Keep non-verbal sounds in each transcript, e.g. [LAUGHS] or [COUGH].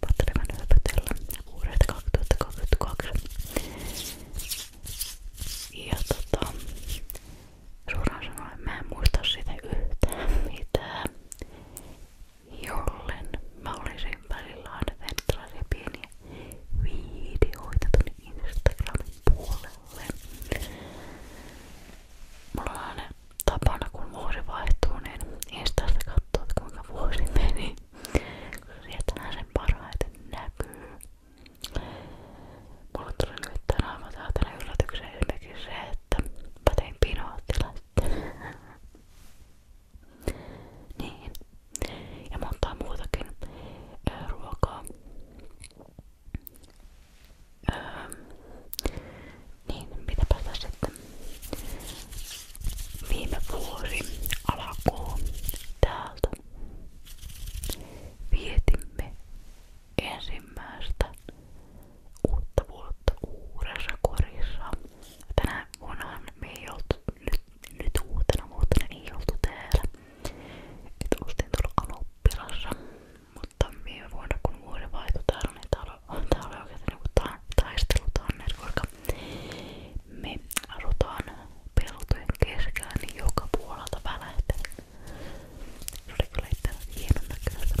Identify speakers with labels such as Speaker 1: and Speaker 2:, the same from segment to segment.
Speaker 1: Pattelevan höpötellä vuodelta 2022. Ja tota, suoraan sanoen mä en muista sitä yhtään mitään, jollen mä olisin välillä aina tehnyt tällaisia pieniä videoita tuonne Instagramin puolelle. Mulla on aina tapana, kun vuosi vaihtuu, niin instasta katsoo, kuinka vuosi meni. Sieltä nää sen parhaiten näkyy. Mulle tuli nyt tänään aivan saatana yllätykseen esimerkiksi se, että mä tein pinoottilaista. niin. Ja montaa muutakin ää, äh, ruokaa. Öö, niin, mitäpä tässä sitten viime vuosi alkuun täältä vietimme ensimmäistä uutta vuotta uudessa korissa. Tänä vuonna me ei oltu, nyt, nyt uutena vuotena ei oltu täällä. Et ostin tuolla Anoppilassa, mutta viime vuonna kun vuoden vaihtui täällä, niin täällä tämä oli oikeasti niinku ta taistelutanner, koska me asutaan peltojen keskellä, niin joka puolelta välähtelee. Se oli kyllä itse hienon näköistä.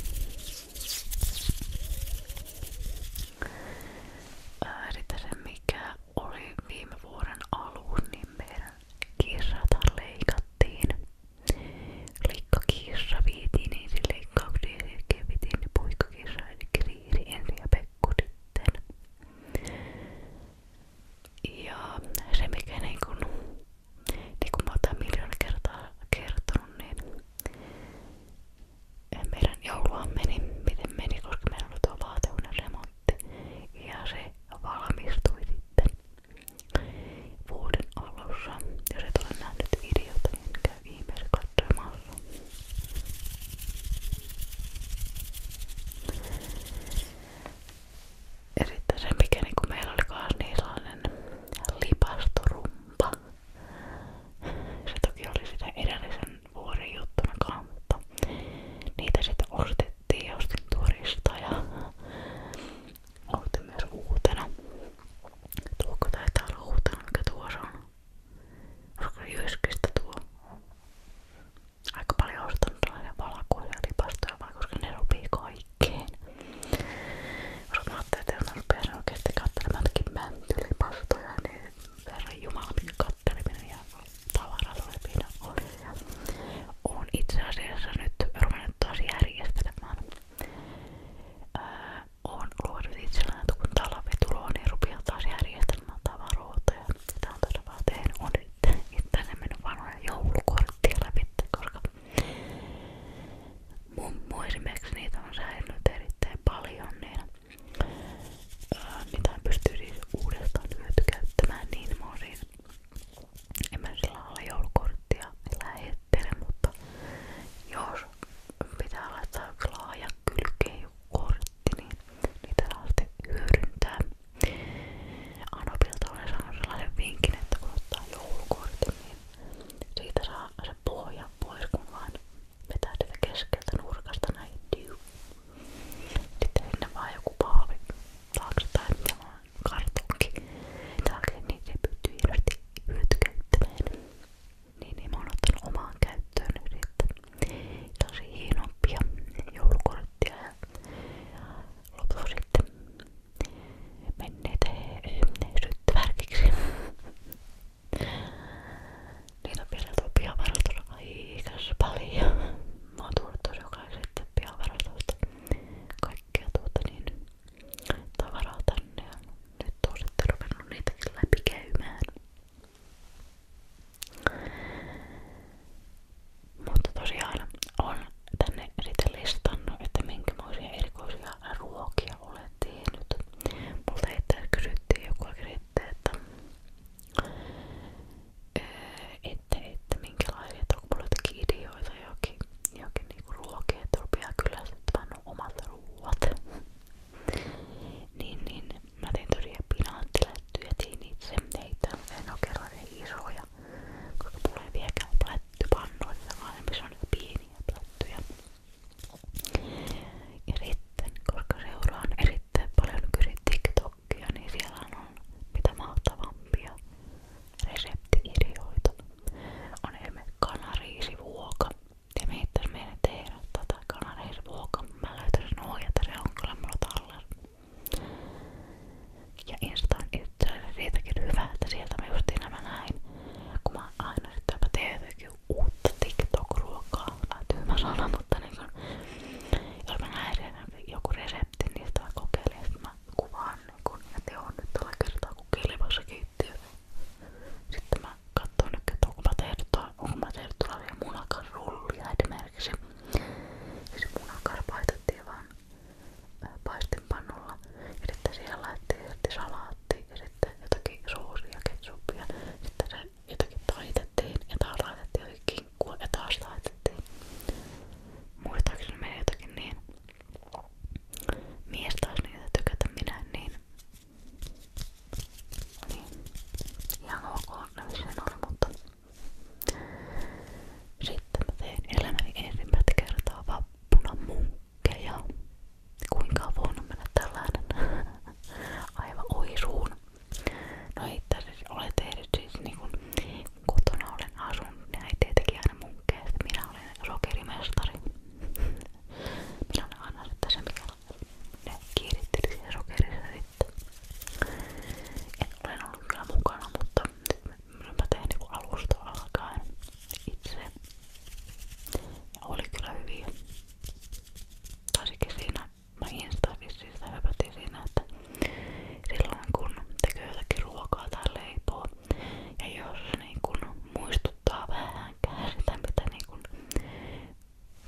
Speaker 1: Sitten se mikä oli viime vuoden alun, niin meidän kirjata leikattiin. Likkakissa viitiin, niin se leikkauksia ja kevitiin, niin puikkakissa eli Iiri, Enri ja Pekku sitten. Ja se mikä niin kun, niin kun mä oon tämän miljoona kertaa kertonut, niin meidän joulua meni, niin miten meni, koska meillä oli tuo vaateunen remontti ja se valmistui sitten vuoden alussa. Jos et ole nähnyt videota, niin käy ihmeessä svart imorgon. Ja sitten se mikä niinku meillä oli kanssa niin sellainen lipastorumpa. Se toki oli sitä edellisen vuoden juttuna kanssa, mutta niitä sitten ostettiin ja ostin turista ja ostin myös uutena. Tuokko taitaa olla uutena mikä tuossa on. Onko jyskistä tuo? Aika paljon ostanut sellaisia valakuja lipastoja vaan, koska ne sopii kaikkeen. Koska mä ajattelin, että jos mä rupeaisin oikeesti katselemaan jotakin mäntylipastoja, niin herran jumala minkä katteleminen ja tavaraloiminen oli. Ja on itse asiassa nyt ruvennut taas järjestelemään. Öö, on luonut itselleni, että kun talve tulee, niin rupeaa taas järjestelmään tavaroita. Ja sitä on todella vaan tehnyt. On itselleen mennyt vanhoja joulukorttia läpi, koska mummu esimerkiksi niitä on säilynyt erittäin paljon. Niin ää, niitä pystyy siis uudestaan hyötykäyttämään, niin mä oon siinä. En mä sillä lailla joulukorttia lähettele, mutta jos pitää laittaa laajan kylkeen kortti, niin niitä saa sitten hyödyntää. Anopilta olen saanut sellaisen vinkin, että kun ottaa joulukortin, niin siitä saa se pohja pois, kun vaan vetää sitä keskeltä nurkasta näin. Sitten sinne vaan joku paavi taakse tai mitä vaan kartonki taakse, niin se pystyy hirveästi hyötykäyttämään niin, niin mä oon ottanut omaan käyttöön nyt tosi hienompia joulukorttia ja lopulta sitten menneitä syttyvärkiksi. Niitä on vielä tuolla pihavarastossa aikas paljon. Mä oon tuonut tosi jokaisesta pihavarastosta kaikkea tuota niin tavaraa tänne ja nyt on sitten ruvennut niitäkin läpi käymään. Mutta tosiaan on tänne sitten listannut, että minkämoisia erikoisia ruokia olet tehnyt. Multa itse kysyttiin joku sitten, että, eh, että, että minkälaisia, että onko mulla jotakin ideoita johonkin, johonkin niinku ruokia, että rupeaa kyllä sitten omat ruuat. Niin, niin mä tein tosiaan pinaattilättyjä, tein itse neitä, en oo kerran niin isoja, koska mulla ei vieläkään plättypannoita, vaan se on pieniä plättyjä. Ja sitten, koska seuraan erittäin paljon nykyisiä TikTokia, niin siellä on mitä mahtavimpia reseptiideoita. On esimerkiksi kanariisivuoka, ja me heittäis meidän tehdä tota kanareisruoka. Mä löytäisin ohjata, se on kyllä mulla tallella. Ja Insta on itse asiassa siitäkin hyvä, että sieltä mä justiin nämä näin. Kun mä aina sitten jopa teen jotenkin uutta TikTok-ruokaa. Tyhmä sana, mutta niin kun, jos mä näen siellä joku resepti, niin sitä mä kokeilen. Sitten mä kuvaan niin kun, että joo, nyt tällä kertaa kun kilpassa kiittiö. Sitten mä katson nyt, että onko mä tehnyt, onko mä tehnyt tulevia munakarullia esimerkiksi. Ja se siis munakar paistettiin vaan paistinpannulla. Ja sitten siihen laitettiin sitten salaatti ja sitten jotakin soosia, ketsuppia. Sitten se jotakin taitettiin ja taas laitettiin jotakin kinkkua ja taas laitettiin. Muistaakseni meni jotakin niin. Mies taas niitä tykätä minä niin niin. Ihan ok näin no sen oli, mutta sitten mä tein elämäni ensimmäistä kertaa Kuinka on voinut mennä [LAUGHS] aivan oisuun. No ei tässä ole niin kun kotona olen asunut, niin ei tietenkin Minä olen sokerimestari. [LAUGHS] Minä olen aina se mikä ne kiiritteli siihen sokerissa sitten. En ole ollut kyllä mukana, mutta mä tein niinku alusta alkaen itse. Ja oli kyllä hyviä. Taisikin siinä, mä Instagramissa sitä höpätin siinä, että silloin kun tekee jotakin ruokaa tai leipoa ja jos se niin kun muistuttaa vähänkään sitä, mitä niin kun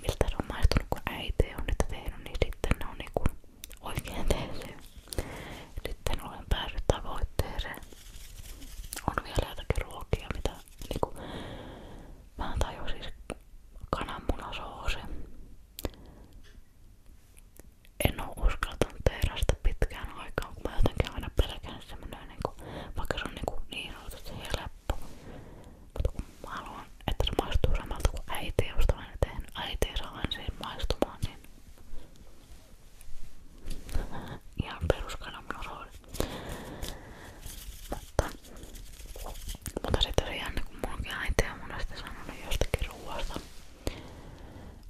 Speaker 1: miltä se on maistunut kun äiti on niitä tehnyt, niin sitten ne on niinku oikein tehty. Sitten olen päässyt tavoitteeseen. On vielä jotakin ruokia, mitä niinku mä tajusin siis kananmunasoose. En oo uskaltanut tehdä sitä pitkään aikaan, kun mä jotenkin aina pelkään semmonen niinku, vaikka se on niinku niin sanotusti helppo, mutta kun mä haluan, että se maistuu samalta kuin äiti, josta mä en tehnyt äiti siihen maistumaan, niin [LAUGHS] ihan peruskanan rooli. Mutta, mutta sitten se jännä, kun munkin äiti on monesti sanonut jostakin ruoasta.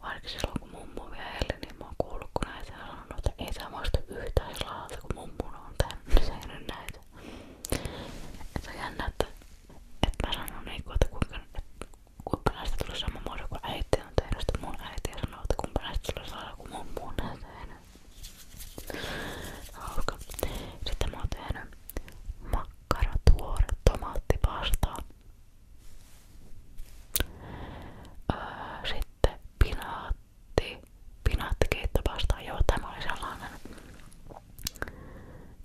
Speaker 1: Varsinkin silloin kun mummu vielä eli, niin mä oon kuullut kun äiti on sanonut, että ei tämä maistu yhtään sellaiselta kuin mummun on tehnyt, niin se ei nyt näin siitä. Se on jännä, että, että mä sanon niinku, että kuinka, että kuinka näistä tulee sama muoto kuin äiti on tehnyt sitä mun äiti ja sanoo, että kuinka näistä tulee sama kuin mun muun näistä tehnyt. Hauska. Sitten mä oon tehnyt makkaratuore tomaattipastaa. Öö, sitten pinaatti, pinaattikeittopastaa. Joo, tämä oli sellainen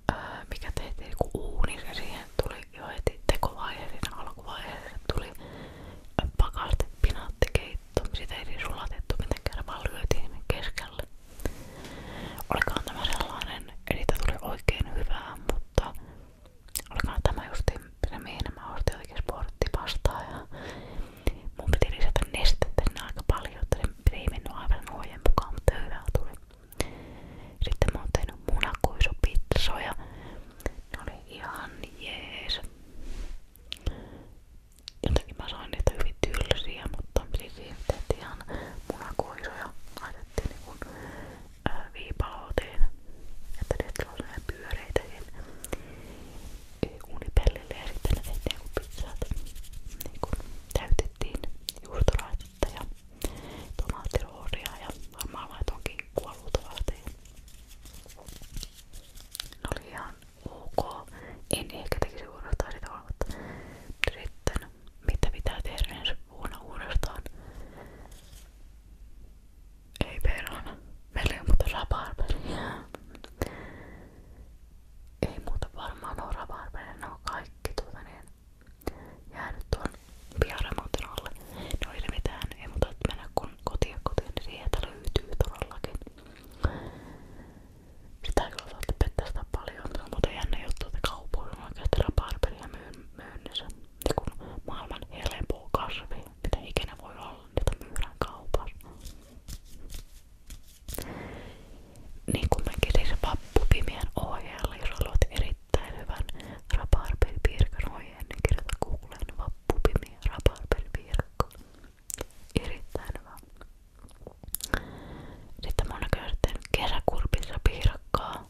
Speaker 1: öö, mikä tehtiin niinku uuni ja siihen tuli jo heti tekovaihe siinä alkuvaiheessa tuli pakaste pinaattikeitto, sitä ei siis sulatettu mitenkään vaan lyötiin keskelle. Olikaan tämä sellainen, eli tuli oikein hyvää, mutta olikaan tämä justiin se mihin mä ostin jotenkin sporttivastaa ja Mun piti lisätä nestettä sinne aika paljon, että se ei mennyt aivan nuojen mukaan, mutta hyvää tuli. Sitten mä oon tehnyt munakuisupitsoja. Ne oli ihan jees. Jotenkin mä sain niitä hyvin tylsiä, mutta siihen tehtiin ihan munakuisoja. Laitettiin niinku viipaloitiin, että ne tulee sellainen pyöreitä siihen uunipellille ja sitten ne tehtiin niinku pizzat. Niinku täytettiin juustoraitetta ja tomaattirooria ja varmaan laitoin kinkkua luultavasti. Ne oli ihan ok. En ehkä tekisi uudestaan sitä olevat. Sitten mitä pitää tehdä ensi vuonna uudestaan? Ei perhana. Meillä ei ole muuta rabarberia ei muuta varmaan oravarveen, ne on kaikki tuota niin jäänyt tuon piaremontin alle. No ei ne mitään, ei muuta että mennä kun kotiin kotiin, niin sieltä löytyy todellakin. Sitä kyllä saatte pettää sitä paljon, se on muuten jännä juttu, että kaupoilla on oikeasti rabarberia myyn, myynnissä. Ja niin kun maailman helpoo kasvi, mitä ikinä voi olla, niitä myydään kaupassa. Niin kuin mä kirjasin vappupimien ohjeella, jos haluat erittäin hyvän rabarberipirkan ohjeen, niin kirjoita Googleen vappupimi rabarberipirkka. Erittäin hyvä. Sitten mä oon näköjään kesäkurpissa piirakkaa.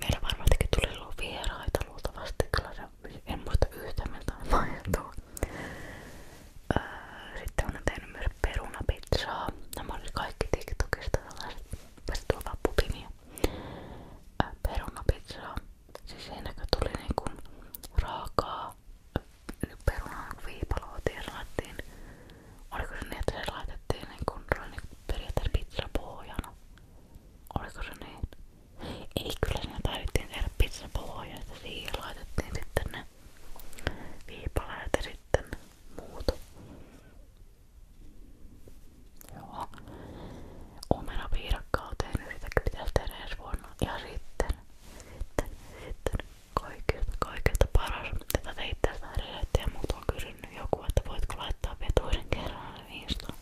Speaker 1: Meillä varmastikin tuli ollut vieraita luultavasti tällaisen en muista yhtään miltä mahtuu. Öö, sitten olen tehnyt myös perunapizzaa. Nämä olivat kaikki TikTokista tällaiset. Pääsi tuolla vaan pupimia. Öö, perunapizzaa. Siis siinäkö tuli niinku raakaa öö, perunan viipaloa ja Oliko se niin, että se laitettiin niinku, niinku periaatteessa pizzapohjana? Oliko se niin? Ei kyllä siinä taidettiin tehdä pizzapaloja, että siihen laitettiin sitten ne viipaleet ja sitten muut. Joo. Omenapiirakkaa on tehnyt, niin sitäkin pitäisi tehdä ensi vuonna. Ja sitten, sitten, sitten kaikilta, kaikilta paras. Tätä teitte tästä resettä ja mut on kysynyt joku, että voitko laittaa vetuisen kerran viistoon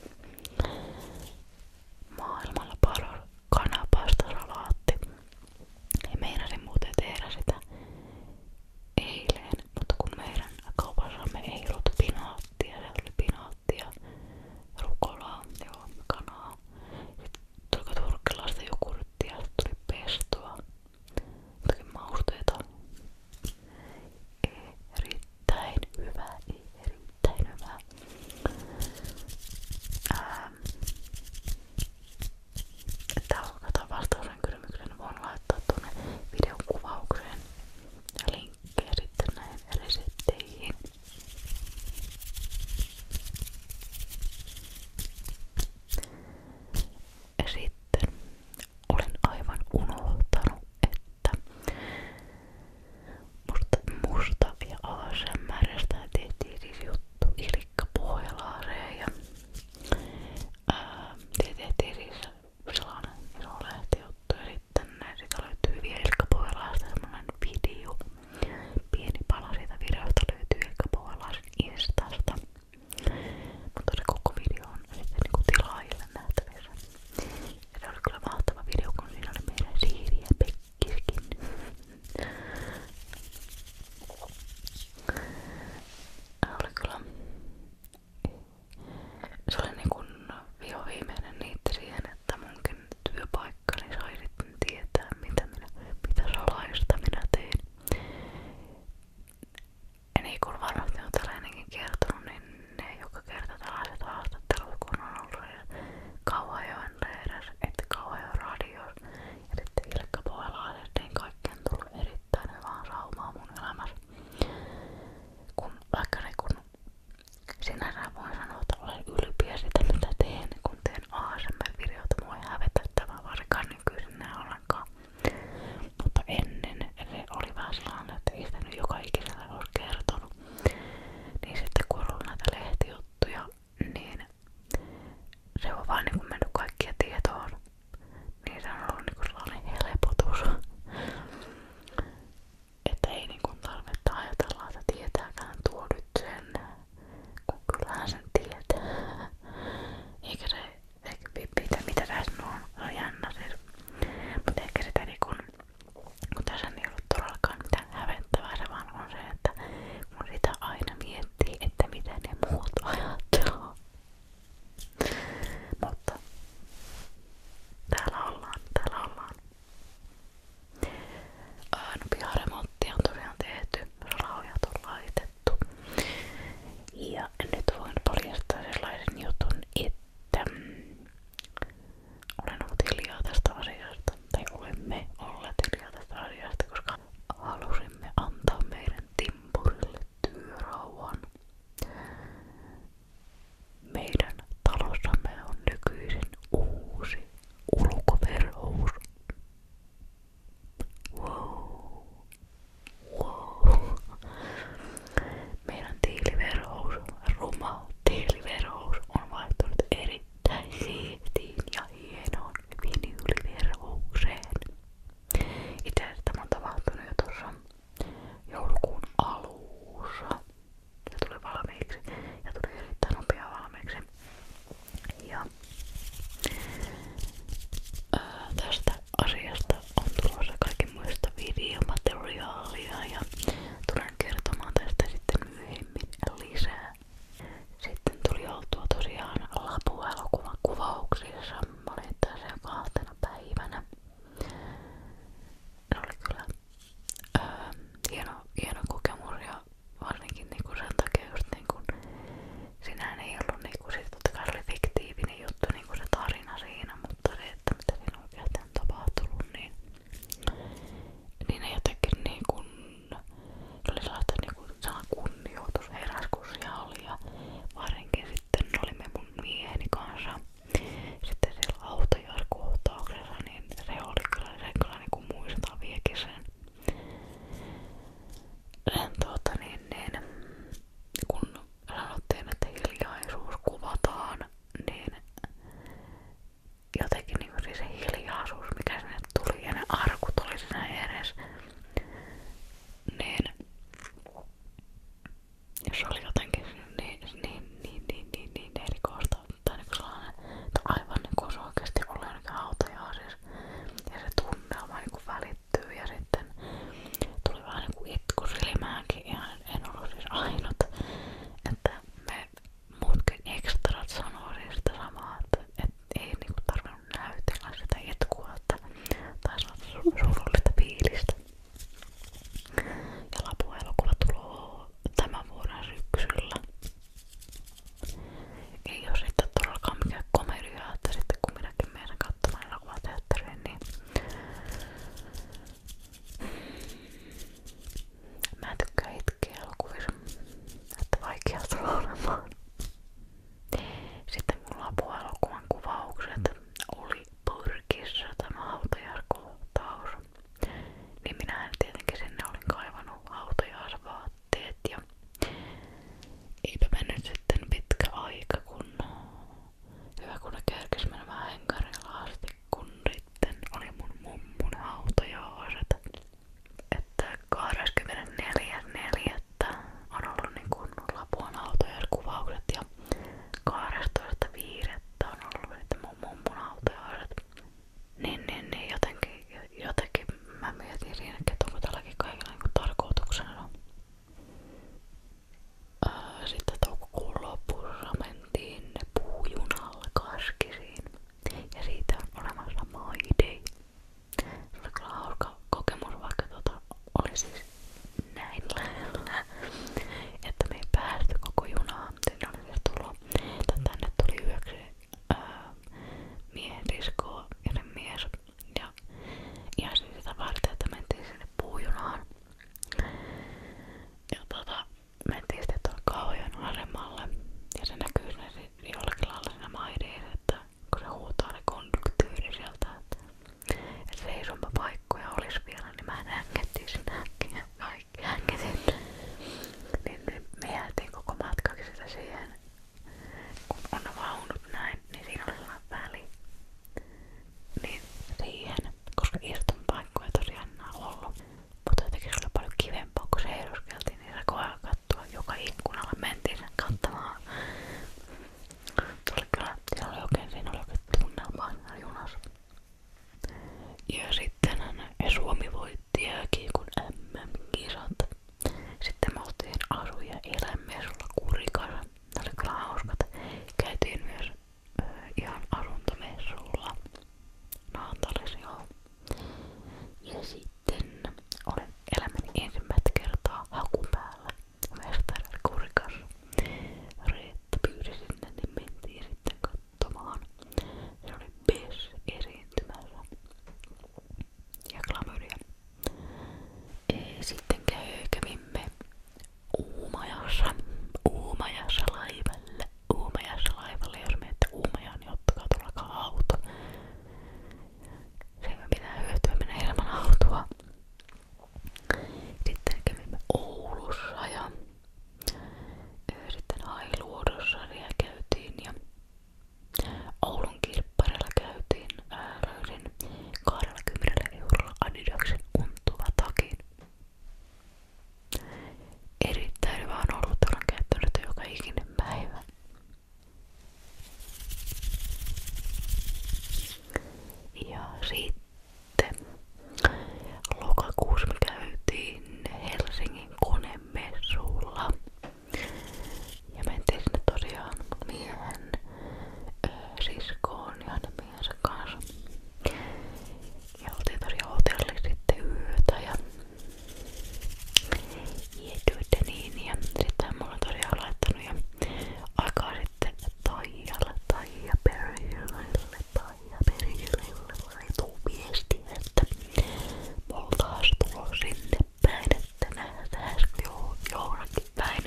Speaker 1: maailmalla paras kanapastasalaatti. Ja meinasin muuten tehdä sitä eilen, mutta kun meidän kaupassamme ei ollut pinaattia, se oli pinaattia, rukolaa, joo, kanaa. Sitten tuli turkkilaista jogurttia, tuli pestua, jotakin mausteita. Erittäin hyvä, erittäin hyvä. Ää, Tää on vastauksen kysymyksen voin laittaa tuonne videokuvaukseen linkkejä sitten näihin resepteihin. Sitten olen aivan unohtanut, että musta, mustavia ASMRstä ja tehtiin siis juttu Ilikka Pohjalaareen ja ää, tehtiin siis sellainen iso lehtijuttu ja sitten siitä löytyy vielä Ilikka Pohjalaaresta semmonen video pieni pala siitä videosta löytyy Ilikka Pohjalaaren instasta mutta se koko video on sitten niinku tilaajille nähtävissä ja se oli kyllä mahtava video kun siinä oli meidän Siiri ja Pekka kirkin. Äh, oli kyllä, se oli niinku viho viimeinen niitti siihen, että munkin työpaikkani sai sitten tietää, mitä, minä, mitä salaista minä tein. Ja niin kuin varmasti on täällä ennenkin kertonut, niin ne joka kerta tällaiset haastattelut kun on ollut ja Kauhajoen leirissä, että Kauhajoen radios ja sitten Ilkka Pohjalaisessa, niin kaikki on tullut erittäin hyvää saumaa mun elämässä. Kun, vaikka niin kun sinänsä voin sanoa, että olen ylpeä sitä mitä teen, kun teen ASMR-videota, mua ei hävetä tämä varsinkaan nykyisin enää ollenkaan. Mutta ennen se oli vähän sellainen, että ei sitä nyt joka ikisellä olisi kertonut. Niin sitten kun on ollut näitä lehtijuttuja niin se on vaan niinku mennyt kaikkia tietoon. Niin se on ollut niinku sellainen helpotus. Että ei niinku tarvetta ajatella, että tietääkään tuo nyt sen, kun kyllähän sen tietää. Eikä se, eikä mitä, mitä tässä on, se on jännä siis. Mutta ehkä sitä niinku, kun tässä ei ollut todellakaan mitään hävettävää, se vaan on se, että kun sitä aina miettii, että mitä ne muut Mutta täällä ollaan, No piharemonttia on tosiaan tehty, raujat on Ja nyt voin paljastaa sellaisen jutun, että olen ollut hiljaa tästä asiasta sarjasta, tai olemme olleet hiljaa tästä sarjasta, koska halusimme antaa meidän timpurille työrauhan. Meidän talossamme on nykyisin uusi ulkoverhous. Wow. Wow. Meidän tiiliverhous, ruma tiiliverhous on vaihtunut eri erittäin siistiin ja hienoon vinyyliverhoukseen. Itse tämä on tapahtunut jo alussa. Se tuli valmiiksi ja tuli erittäin nopea Ja tästä asiasta on tulossa kaiken muista videomateriaalia ja tulen kertomaan tästä sitten myöhemmin lisää. Sitten tuli oltua tosiaan lapuelokuvan kuvauksissa. Mä olin tässä kahtena päivänä. Se oli kyllä öö, hieno, hieno kokemus ja varsinkin niinku sen takia just niinku sinähän ei ollut niinku sit totta kai oli fiktiivinen juttu niinku se tarina siinä, mutta se, että mitä siinä oikeasti on tapahtunut, niin, niin ei jotenkin niinku kyllä. Se oli sellaista niinku sana kunnioitus heräs kun siellä oli ja varsinkin sitten olimme mun mieheni kanssa sitten siellä autojaiskohtauksessa niin se oli kyllä, se kyllä niinku muistaa vieläkin sen, sen tuota niin, niin kun sanottiin, että hiljaisuus kuvataan niin jotenkin niinku siis se hiljaisuus mikä sinne kirjat tuli ja ne arkut oli siinä edes. Niin jos oli jotenkin niin, niin, niin, niin, niin, niin, niin erikoista tai niin sellainen, että aivan niin kuin se oikeasti oli jonnekin hautajaa siis. Ja se tunnelma niin kuin välittyy ja sitten tuli vähän niin kuin itku silmäänkin ja en ollut siis ainut. Että me muutkin ekstrat sanoo siis sitä samaa, että, että et ei niinku tarvinnut näytellä sitä etkua tai surullista fiilistä. Ja lapuelokuva tulee tämän vuoden syksyllä. Ei ole sitten todellakaan mikään komedia, että sitten kun minäkin menen katsomaan elokuvateatteriin, niin mä tykkään pitkiä elokuvissa, että vaikea tulee olemaan. Sitten mulla on puolueen kuvaukset oli Purkissa tämä hautajarkohtaus. Niin minähän tietenkin sinne olin kaivannut hautajaisvaatteet ja eipä mennyt sitten pitkä aika kun hyvä kun ne kerkes menemään henkarilla asti kun sitten oli mun mummun hautajaiset että 24.4. on ollut niin kuin Lapuan hautajaiskuvaukset ja 12.5. on ollut niitä mun mummun hautajaiset. Niin, niin, niin jotenkin, jotenkin mä mietin siinä, että onko tälläkin kaikilla niin tarkoituksena. Ää, sitten toukokuun lopussa mentiin puujunalle Kaskisiin ja siitä on olemassa My Day. Se oli kyllä hauska kokemus, vaikka tota, oli siis näin lähellä, että me ei päästy koko junaan. Sinne oli siis tullut, tai tänne tuli yöksi ää, miehen riskoa, joten mies. Ja ihan siis sitä varten, että mentiin sinne puujunaan. Ja tota, mentiin sitten tuon kaujan asemalle ja se näkyy sinne jollakin lailla siinä maideissa, että kun se huutaa ne konduktyöri sieltä, että, että se isompa paikkoja olisi vielä, niin mä hängettiin sinne äkkiä kaikki hängetin. Niin, niin me jäätiin koko matkaksi sitä siihen, kun on vaunut näin, niin siinä oli väli. Niin siihen, koska istunpaikkoja tosiaan enää ollut. Mutta jotenkin se oli paljon kivempaa, kun se eduskeltiin, niin se koe kaivettua. Joka ikkunalla mentiin kattamaan. Tuli kyllä, se oli oikein, siinä oli oikein tunnelma junassa. Ja sitten Suomi voitti jääkin kun MM-kisat. Sitten me oltiin asu- ja eläinmessulla kurikassa. Ne oli kyllä hauskat. Käytiin myös ö, ihan asuntomessulla. Naantalis joo. Ja sit sitten olen elämäni ensimmäistä kertaa haku päällä mestarikurikas. Reetta pyysi sinne, niin mentiin sitten katsomaan. Se oli Bess esiintymässä. Ja klamydia. Sitten kävimme Uumajassa. Uumajassa laivalle. Uumajassa laivalle. Jos menette Uumajaan, niin ottakaa tuolla auto. Sen pitää hyötyä mennä ilman autoa. Sitten kävimme Oulussa ja sitten Ailuodossa käytiin ja Oulun kirpparilla käytiin. Ää, löysin 20 eurolla Adidaksen untuva takin. Erittäin hyvä on ollut, olen käyttänyt joka ikinen päivä. Ja sitten lokakuussa me käytiin Helsingin konemessulla. Ja mentiin sinne tosiaan miehen ö, siskoon ja hänen miehensä kanssa. Ja oltiin tosiaan hotelli sitten yötä ja Jietyitä tuota niin ja sitten mulla on tosiaan laittanut jo aikaa sitten Taijalla, Taija Perjulille, Taija Perjulille laituu viesti, että mulla on taas tulo sinne päin, että nähdään jo johonkin päin.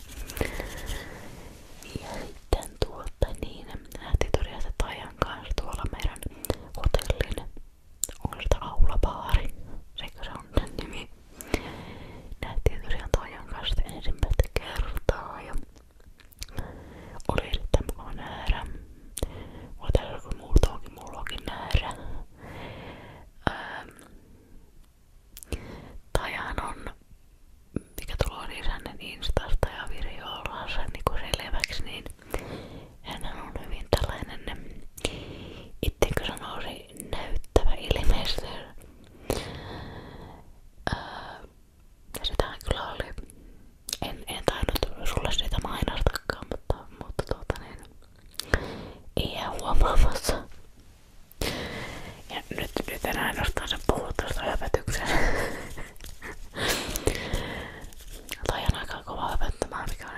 Speaker 1: Ja sitten tuolta niin, nähtiin tosiaan Taijan kanssa tuolla meidän hotellin onko sitä aulabaari, sekö se on sen nimi. Nähtiin tosiaan Toijan kanssa ensimmäistä kertaa ja oli erittäin mukava nähdä. Mulla täällä joku muuta onkin, mulla onkin nähdä. Ähm. Tajan on, mikä tulee isänen instasta ja videolla sen niin niinku selväksi, niin hän on hyvin tällainen ittekö sanoisi näyttävä ilmeister. Öö, sitähän kyllä oli. En, en tainnut sulle sitä mainostakaan, mutta, mutta tuota niin, ei jää huomaamassa. Ja nyt, nyt en ainoastaan sen puhu tuosta höpötyksen. Toi on aika kova höpöttämään, mikä on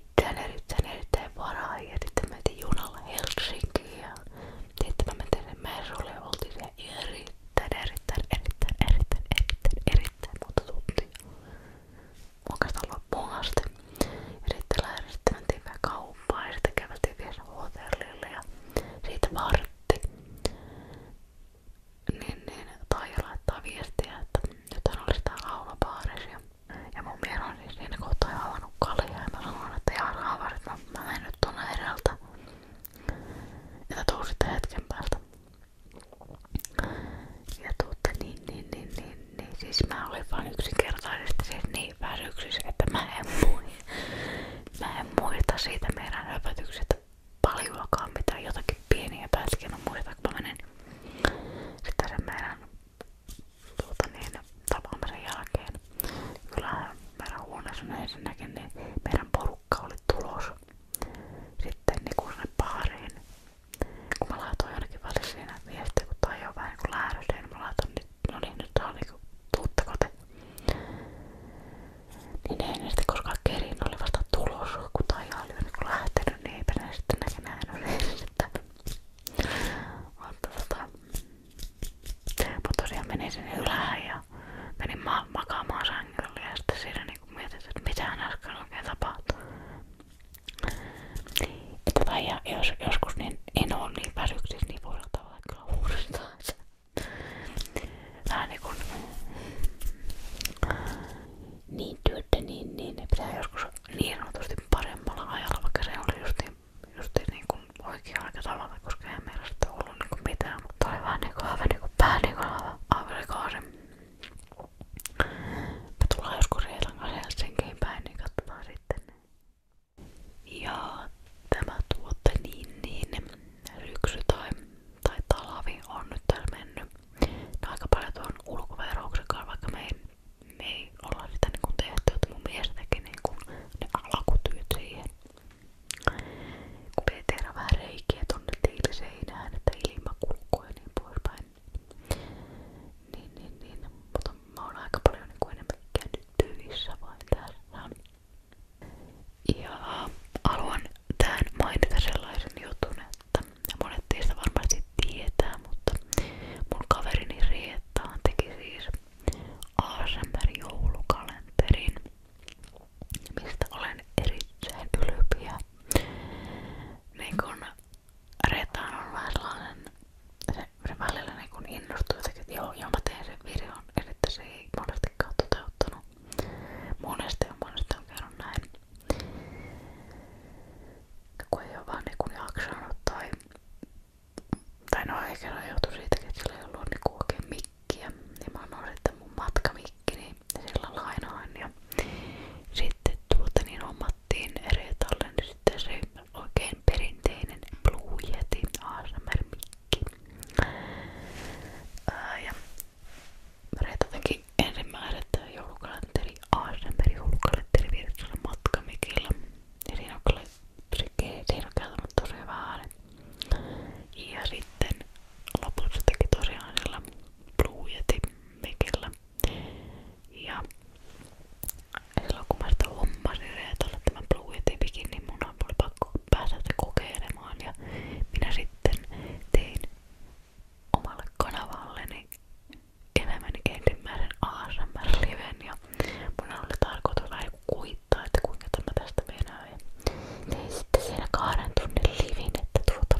Speaker 1: sitten erittäin erittäin varaa ja sitten me mentiin junalla Helsinkiin ja sitten me mentiin sen Mersulle ja oltiin siellä erittäin erittäin erittäin erittäin erittäin erittäin monta tuntia oikeastaan loppuun asti ja sitten lähdettiin mentiin vähän kauppaan ja sitten käveltiin vielä hotellille ja siitä vartti niin, niin taija laittaa viestiä, että nyt on oli sitä laulabaarisia ja mun mies on siis siinä kohtaa jo avannut kaljaa ja mä sanoin, että jaa raavari, mä, mä menen nyt tonne edeltä. Ja tuu sitten hetken päältä. Ja tuutte niin, niin, niin, niin, niin. Siis mä olin vaan yksinkertaisesti siis niin väsyksissä, että mä en, muista, mä en muista siitä meidän höpötyksestä paljoakaan mitään. Jotakin pieniä pätkiä, no muista, kun mä menin sitten sen meidän tuota niin, tapaamisen jälkeen kyllähän meidän huoneessa ensinnäkin niin meidän porukka oli tulos sitten niinku sinne baariin kun mä laitoin jonnekin välissä siinä viestiä, kun toi on vähän niinku lähdössä niin mä laitoin nyt, no niin nyt saa niinku tuuttako te niin ei ne sitten koskaan kerin, oli vasta tulos kun tai oli niinku lähtenyt niin eipä ne sitten näke nähnyt niin sitten mutta tota, mut menin sinne ja menin ma makaamaan sängylle siinä niinku mietin, että mitähän Että tai jos, joskus niin en oo niin väsyksissä, niin voi tavallaan kyllä uudestaan niinku- niin työtä, niin, niin pitää joskus niin sanotusti paremmalla ajalla, vaikka se oli justiin, justiin niinku oikea aika tavalla, koska ei meillä sitä ollut niinku mitään, mutta oli vähän niinku aivan niinku pää niinku aivan Me tullaan joskus Reilan kanssa Helsinkiin päin, niin katsotaan sitten. Ja tämä tuote niin niin syksy tai, tai talvi on nyt tässä mennyt. No aika paljon tuon ulkoverouksen vaikka me ei me ei olla sitä niinku että mun mies teki niinku ne alakutyöt siihen. Kun me tehdään vähän reikiä tonne että ilma kulkuu niin poispäin. Niin, niin, niin. Mutta mä oon aika paljon niinku enemmän käynyt töissä vain tässä. Ja haluan tähän mainita sellaisen jutun, että monet teistä varmasti tietää, mutta mun kaverini Rietaan teki siis ASMR-joulukalenterin, mistä olen erittäin ylpeä. Niin kun Rietaan on vähän sellainen, se, se välillä niin kun innostuu jotenkin, että joo, joo mä teen sen videon, ja sitten se ei monestikaan toteuttanut. Monesti on monesti on käynyt näin. Kun ei ole vaan niin jaksanut tai tai no ehkä se johtui siitäkin, että sillä ei ollut niinku oikein mikkiä. Ja mä annoin sitten mun matkamikki, niin sillä lainaan. Ja sitten tuota niin hommattiin Reetalle niin sitten se oikein perinteinen Blue Yeti ASMR-mikki. Ää, ja Reeta teki ensimmäiset joulukalenteri ASMR-joulukalenteri virtsalla matkamikilla. Ja siinä on kyllä siinä on tosi hyvä ääni. Ja sitten lopussa teki tosiaan sillä Blue Yeti mikillä. Ja silloin kun mä sitä hommasin reetolle tämän Blue Yeti mikin, niin mun oli pakko päästä sitä kokeilemaan. Ja minä sitten tein omalle kanavalleni elämäni ensimmäisen ASMR-liven ja mun oli tarkoitus vähän kuittaa, että kuinka tämä tästä menee ja tein sitten siinä kahden tunnin livin, että tuota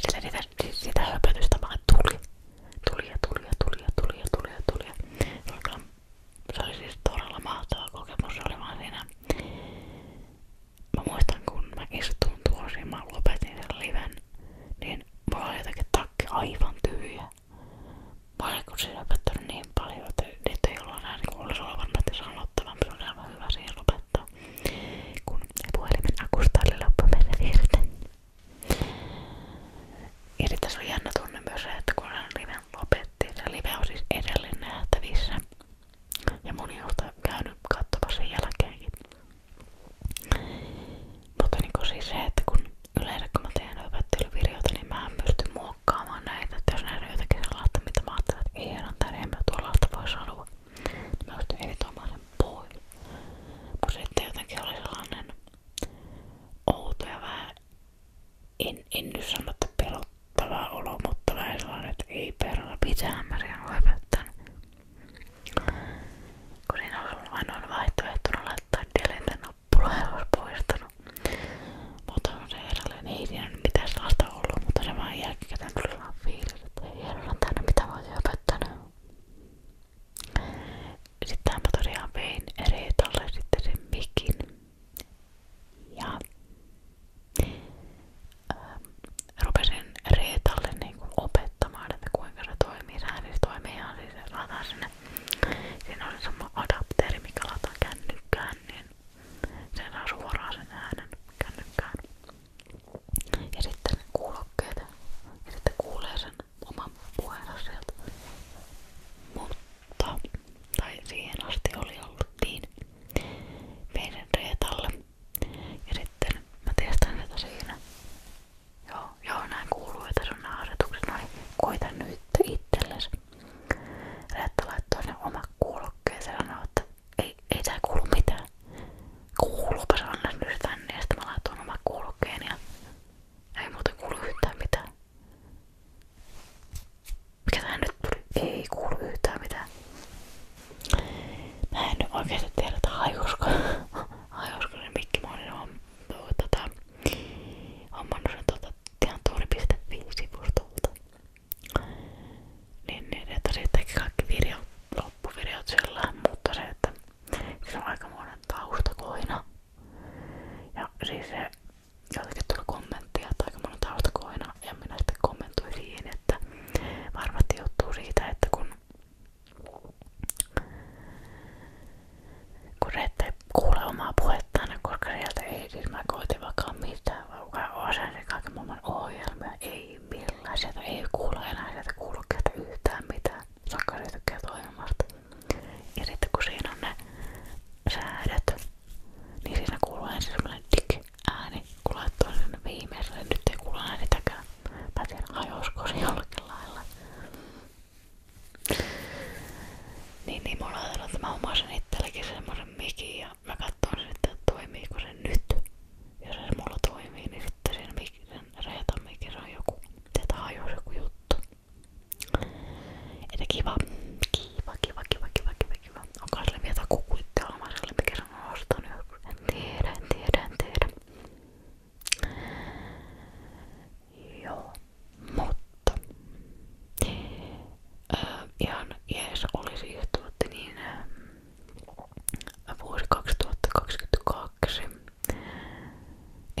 Speaker 1: sitä, sitä, sitä höpötystä vaan tuli tuli ja tuli ja tuli ja tuli ja tuli ja tuli ja tuli tuota, se oli siis todella mahtava kokemus, se oli vaan siinä Mä muistan kun mä istuin tuossa ja mä lopetin sen liven niin mulla oli jotenkin takki aivan tyhjä. Mä olin kun siinä opettanut niin paljon, että niitä ei ollut enää niin olisi ollut varmasti sanottava, mutta se oli aivan hyvä siihen lopettaa. Kun puhelimen akusta oli loppu mennä irti. Ja sitten se oli jännä tunne myös se, että kun sen liven lopettiin, se live on siis edelleen nähtävissä. Ja moni on käynyt katsomassa sen jälkeenkin. Mutta niinku siis se, että kun yleensä kun mä teen opettelyvideoita, niin mä en pysty muokkaamaan näitä. Että jos näin on jotakin sellaista, mitä mä ajattelen, että ei enää tai en mä tuollaista voi sanoa, niin mä pystyn editoimaan sen pois. Mutta sitten jotenkin oli sellainen outo ja vähän, en, en nyt sano, että pelottava olo, mutta vähän sellainen, että ei perra, pitää mä sen opettaa. Kun siinä olisi ollut ainoa vaihtoehtona laittaa delete-nappula, ja olisi poistanut. Mutta se herralle ei siinä mitään sellaista ollut, mutta se vaan jälkikäteen tuli vaan fiilis, että ei herran tänne mitä voi höpöttänä. Sitten mä tosiaan vein Reetalle sitten sen mikin. Ja ähm, rupesin Reetalle niin opettamaan, että kuinka se tuo toimii, se siis toimii ihan siis lataa sinne. Siinä oli sama adapteri, mikä lataa kännykkään, niin se saa suoraan sen äänen kännykkään. Ja sitten kuulokkeet. Ja sitten kuulee sen oman puheensa sieltä. Mutta, tai siihen asti oli ollut niin meidän reetalle. Ja sitten mä testaan sitä siinä. Joo, joo näin kuuluu, että sun nämä asetukset. No niin, koita nyt itsellesi. Reetta laittoi ne oma kuulokkeen ja sanoi, että ei, ei tää kuulu mitään. Kuuluupa se annas nyt tänne ja sitten mä laitoin oma kuulokkeen ja ei muuten kuulu yhtään mitään. Mikä tää nyt tuli? Ei kuulu yhtään mitään. Mä en nyt oikeesti tiedä, että hajusko, hajusko se mikki on tota, hommannut tuota sen tuolta ihan tuuri.fi-sivustolta. Niin, niin että se teki kaikki videot, loppuvideot sillä mutta se, että se on aikamoinen taustakoina. Ja siis se jotenkin tuli kommenttia, että aikamoinen taustakoina. Ja minä sitten kommentoin siihen, että varmasti johtuu siitä, että kun kun ette kuule omaa puhettaan, koska sieltä ei siis mä koitin vaikka mitään, vaan osasin kaiken maailman ohjelmia, ei millään, sieltä ei kuule enää, sieltä kuulu yhtään mitään, vaikka se tykkää ohjelmasta. Ja sitten kun siinä on ne säädöt, niin siinä kuuluu ensin semmonen dik-ääni, kun laittoi sinne viimeiselle, nyt ei kuulu äänitäkään. Mä tiedän, hajosko se jollakin lailla. Niin, niin mulla on että mä omasin itselläkin semmosen mikin ja mä katson sitten, että toimiiko se nyt. Jos se mulla toimii, niin sitten sen, mik, sen reetan mikin se on joku, sieltä hajuu joku juttu. Että kiva, kiva, kiva, kiva, kiva, kiva, kiva. Onko sille vielä kuku itse omaiselle, mikä se on ostanut? En tiedä, en tiedä, en tiedä. Joo, mutta ää, ihan jees oli siis tuotti niin ää, vuosi 2022.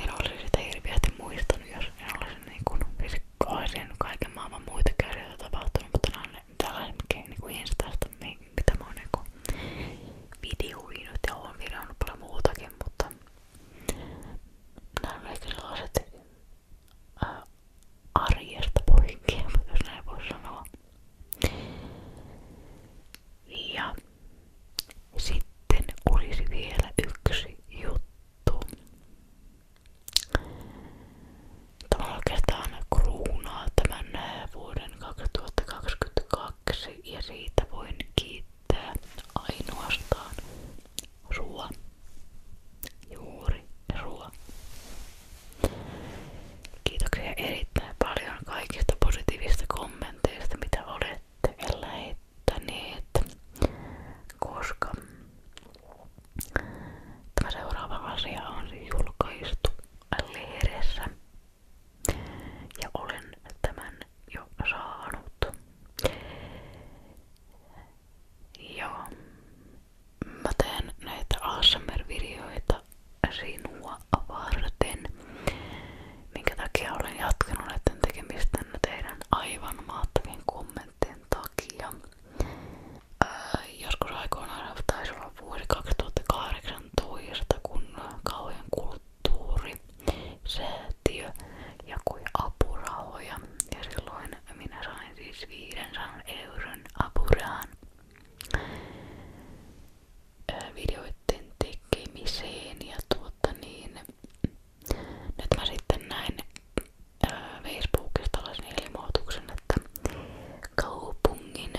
Speaker 1: En olisi sitä hirveästi muistanut, jos en olisi niin kuin, siis olisin kaiken maailman muita käsiä tapahtunut, mutta nämä on ne, tällaiset, mitkä niin kuin instasta, mitä mä oon niin videoinut ja oon videoinut paljon muutakin, mutta Nämä menee kyllä arjesta poikkea, [LAUGHS] jos näin voi sanoa. Ja sitten olisi vielä yksi juttu. Tämä oikeastaan kruunaa tämän vuoden 2022 ja siitä voin kiittää käyttää ainoastaan ruoan. Juuri ruoan. Kiitoksia erittäin paljon kaikista positiivista kommenteista, mitä olette lähettäneet, koska tämä seuraava asia on julkaistu lehdessä ja olen tämän jo saanut. Joo. Mä näitä ASMR-videoita sinua Minkä takia olen jatkanut näiden tekemistä teidän aivan mahtavien kommenttien takia. Ää, joskus aikoinaan taisi olla vuosi 2018, kun kauhean kulut kulttuurisäätiö jakoi apurahoja ja silloin minä sain siis 500 euron apurahan videoiden tekemiseen ja tuota niin nyt mä sitten näin Facebookista tällaisen ilmoituksen, että kaupungin,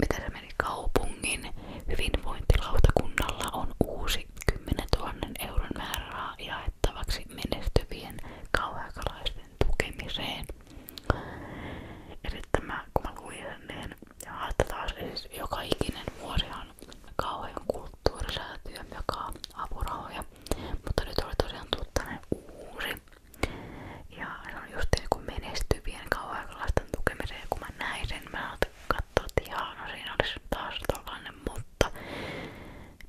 Speaker 1: mitä se meni, kaupungin hyvinvointilautakunnalla on uusi 10 000 euron määräraha jaettavaksi menestyvien kauhaikalaisten tukemiseen. Ja sitten mä, kun mä luin sen, niin taas siis joka ikinen vuosihan kauhean kulttuurisäätiö, joka apurahoja, mutta nyt oli tosiaan tullut tämmönen uusi. Ja se on just niin kuin menestyvien kauhaikalaisten tukemiseen, kun mä näin sen, mä täältä katsoa, että jaa, no siinä olisi taas tollanen, mutta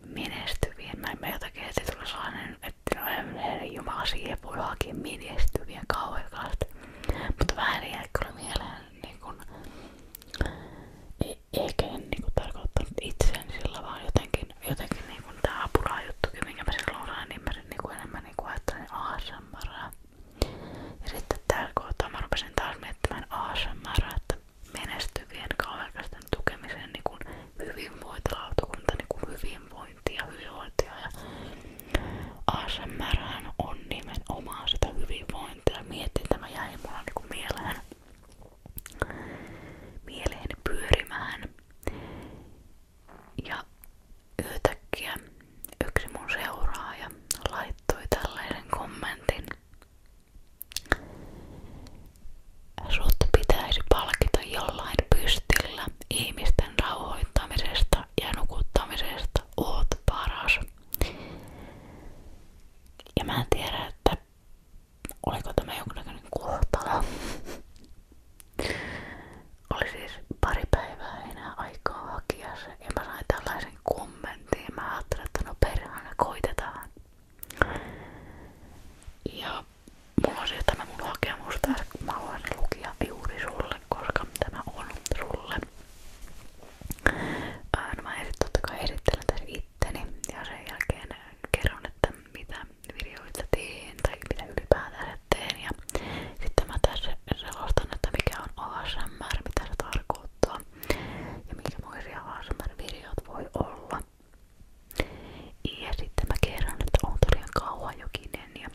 Speaker 1: menestyvien, mä en mä jotakin heti tuli sellainen, että no en jumala siihen voi hakea menestyvien kauheasti. Mutta vähän jäi kyllä mieleen niin kun, e, eikä niin tarkoittanut itseäni sillä jotenkin, jotenkin niin kun, tää apura juttu, minkä mä silloin osaan, niin mä sit, niin kun, enemmän niin kun, ajattelin ASMRää. Ja sitten täällä kohtaa mä rupesin taas miettimään ASMR, että menestyvien kaverkasten tukemiseen niin kuin hyvinvointilautakunta, niin kuin hyvinvointi ja hyvinvointia. Ja ASMR on nimenomaan sitä hyvinvointia. Mietin, tämä jäi mulla niin kuin mieleen, mieleen pyörimään. Ja yhtäkkiä yksi mun seuraaja laittoi tällaisen kommentin. Sut pitäisi palkita jollain pystillä ihmisten rauhoittamisesta ja nukuttamisesta. Oot paras. Ja mä en oliko tämä jonkinnäköinen kohtalo. Oli siis pari päivää enää aikaa hakia ja mä sain tällaisen kommentin ja mä ajattelin, että no perhana koitetaan. Ja mulla on siis tämä mun hakemus tässä, mä haluan lukia juuri sulle, koska tämä on sulle. Ää, no mä esit, totta kai esittelen tässä itteni ja sen jälkeen kerron, että mitä videoita teen tai mitä ylipäätään teen. Ja sitten mä tässä selostan, että mikä on ASMR, mitä se tarkoittaa ja minkämoisia ASMR-videot voi olla. Ja sitten mä kerron, että on tosiaan kauhajokinen ja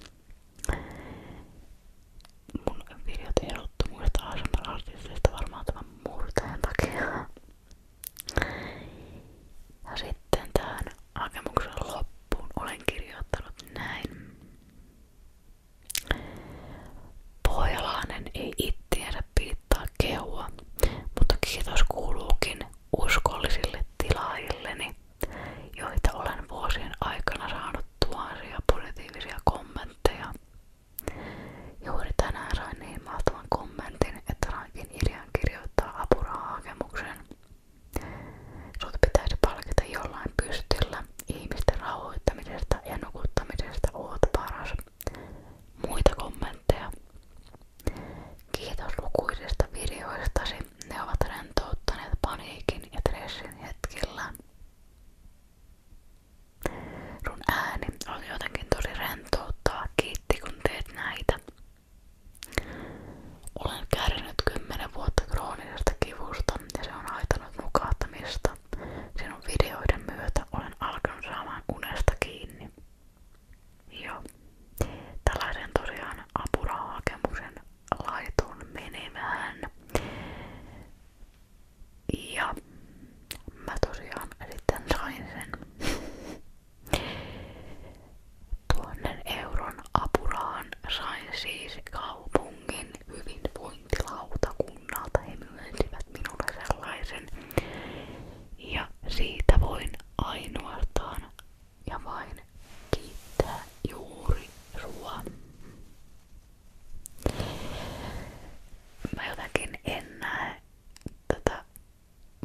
Speaker 1: mun videot erottu muista ASMR-artisteista varmaan tämän murteen takia. Ja sitten tähän hakemuksen loppuun olen kirjoittanut näin. Pohjalainen ei ittiänsä piittaa kehua, mutta kiitos kuuluukin uskollisille tilaajilleni, joita olen vuosien aikana saanut tuhansia positiivisia kommentteja. Juuri tänään sain niin mahtavan kommentin, että sainkin idean kirjoittaa apurahahakemuksen. Sut pitäisi palkita jollain pystillä ihmisten rauhoittamisesta ja nukuttamisesta oot paras. Muita kommentteja. Kiitos lukuisista videoistasi. Ne ovat rentouttaneet paniikin ja stressin hetkillä. Sun ääni on jotenkin tosi rentouttava. Kiitti kun teet näitä. Olen kärsinyt 10 vuotta kroonisesta kivusta ja on haitannut nukahtamista. Sinun videoiden myötä olen alkanut saamaan unesta kiinni. Joo. Tällaisen tosiaan apurahakemuksen laitun menemään. Ja mä tosiaan sitten sain sen [LAUGHS] tuonnen euron apuraan sain siis kaupungin hyvinvointilautakunnan suunnalta he myönsivät minulle sellaisen ja siitä voin ainoastaan ja vain kiittää juuri sua. Mä jotenkin en näe tätä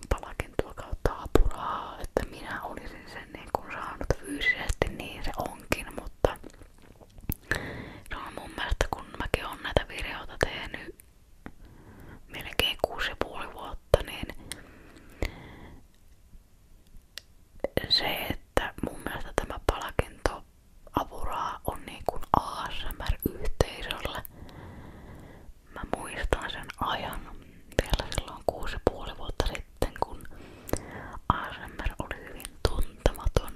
Speaker 1: palakintua kautta apuraa, että minä olisin sen niin kun saanut fyysisesti, niin se onkin, mutta No mun mielestä kun mäkin oon näitä videoita tehnyt melkein 6,5 vuotta, niin se, että mun mielestä tämä palkinto apuraa on niin kuin ASMR-yhteisölle. Mä muistan sen ajan vielä silloin 6,5 vuotta sitten, kun ASMR oli hyvin tuntematon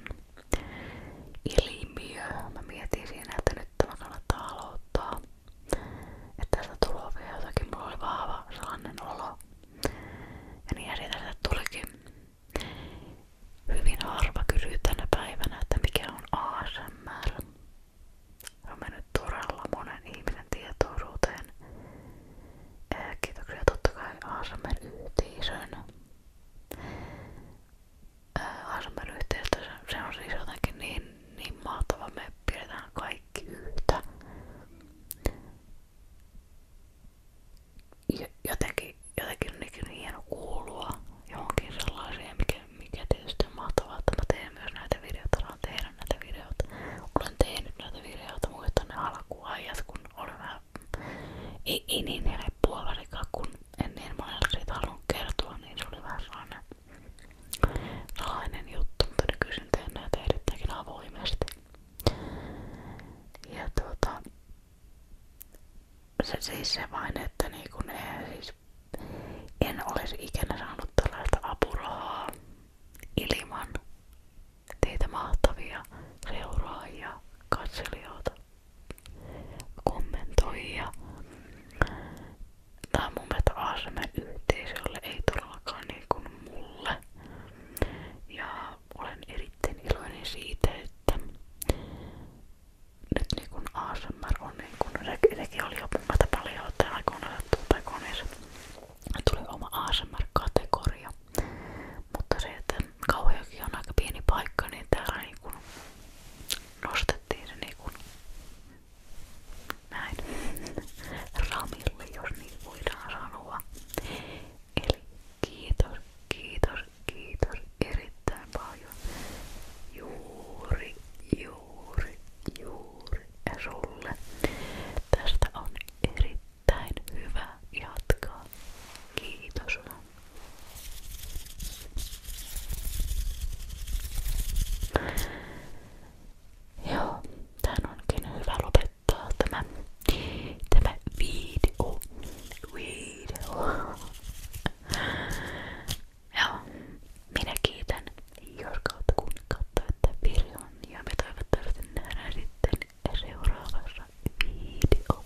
Speaker 1: ilmiö. Mä mietin siinä, että nyt tämä kannattaa aloittaa. Että tästä tulee vielä jotakin. Mulla oli vahva sellainen olo. Ja niin siitä tulikin hyvin harva kysyy tänä päivänä, että mikä on ASMR. Se on mennyt todella monen ihmisen tietoisuuteen. Kiitoksia totta kai ASMR-yhteisön. Äh, harmeliyhteistyö, se on siis niin, niin mahtava, me pidetään kaikki yhtä. Jotenkin, jotenkin on niin hieno kuulua johonkin sellaiseen, mikä, mikä tietysti on mahtavaa, että näitä videoita, saan tehdä näitä Olen tehnyt näitä videoita muuten ne alkuajat, kun olen ei, ei niin helppoa välikaan, kun en niin paljon siitä halunnut kertoa, niin se oli vähän sellainen salainen juttu, Ja tuota, se siis se vain, että niinku ne, siis en olisi ikinä saanut tällaista apurahaa ilman teitä mahtavia seuraajia, katselijoita kommentoi. Ja... Tämä on mun mielestä ASMR-yhteisölle, ei todellakaan niin kuin mulle. Ja olen erittäin iloinen siitä, että nyt niin kuin ASMR on niin kuin, sekin oli jo mun mielestä paljon, että aikoinaan tai koneessa tuli oma ASMR-kategoria. Mutta se, että kauheakin on aika pieni paikka, niin täällä niin kuin nostettiin se niinku näin [LAUGHS] ramille, jos niin voidaan sanoa. Eli kiitos, kiitos, kiitos erittäin paljon. Juuri, juuri, juuri ja sulle. Tästä on erittäin hyvä jatkaa. Kiitos. Joo, tän onkin hyvä lopettaa tämä, tämä video. Video. Joo, minä kiitän, jos kautta kun katsoitte videon ja me toivottavasti nähdään sitten seuraavassa video.